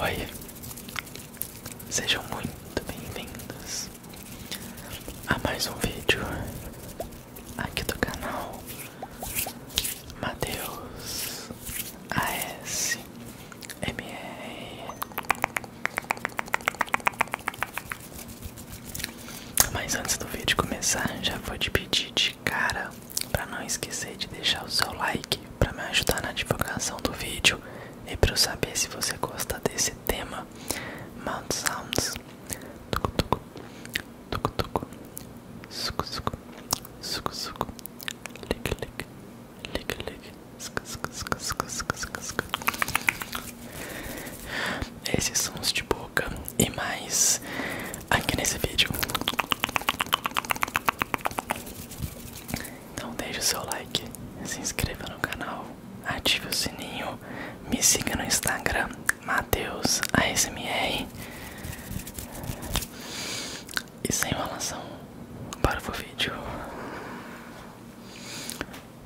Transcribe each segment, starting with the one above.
Oi, sejam muito bem-vindos a mais um vídeo aqui do canal Mateus ASMR Mas antes do vídeo começar, já vou te pedir de cara para não esquecer de deixar o seu like para me ajudar na divulgação do vídeo e para eu saber se você gosta desse tema Mount Sounds tucu tucu, suco suco, suco suco, lick lick, lick lick, suco suco suco suco suco suco. Esses sons de boca e mais aqui nesse vídeo. Então deixe o seu like, se inscreva no canal, ative o sininho, me siga no Instagram Matheus ASMR e sem enrolação para o vídeo.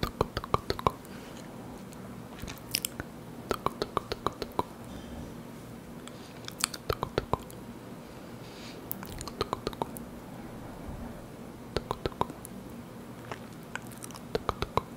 Tucu, tucu.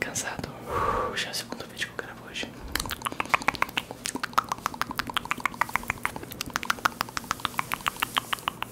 Cansado, já é o segundo vídeo que eu gravo hoje.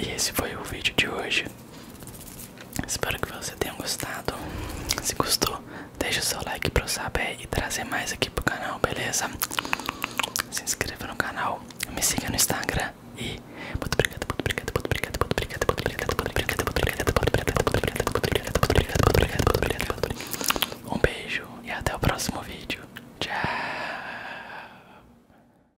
E esse foi o vídeo de hoje. Espero que você tenha gostado. Se gostou, deixa o seu like para eu saber e trazer mais aqui pro canal, beleza? Se inscreva no canal, me siga no Instagram e muito obrigado, muito obrigado, muito obrigado, muito obrigado, muito obrigado, muito obrigado, muito obrigado, muito obrigado, muito obrigado, muito obrigado, muito obrigado, muito obrigado, muito obrigado. Um beijo e até o próximo vídeo. Tchau.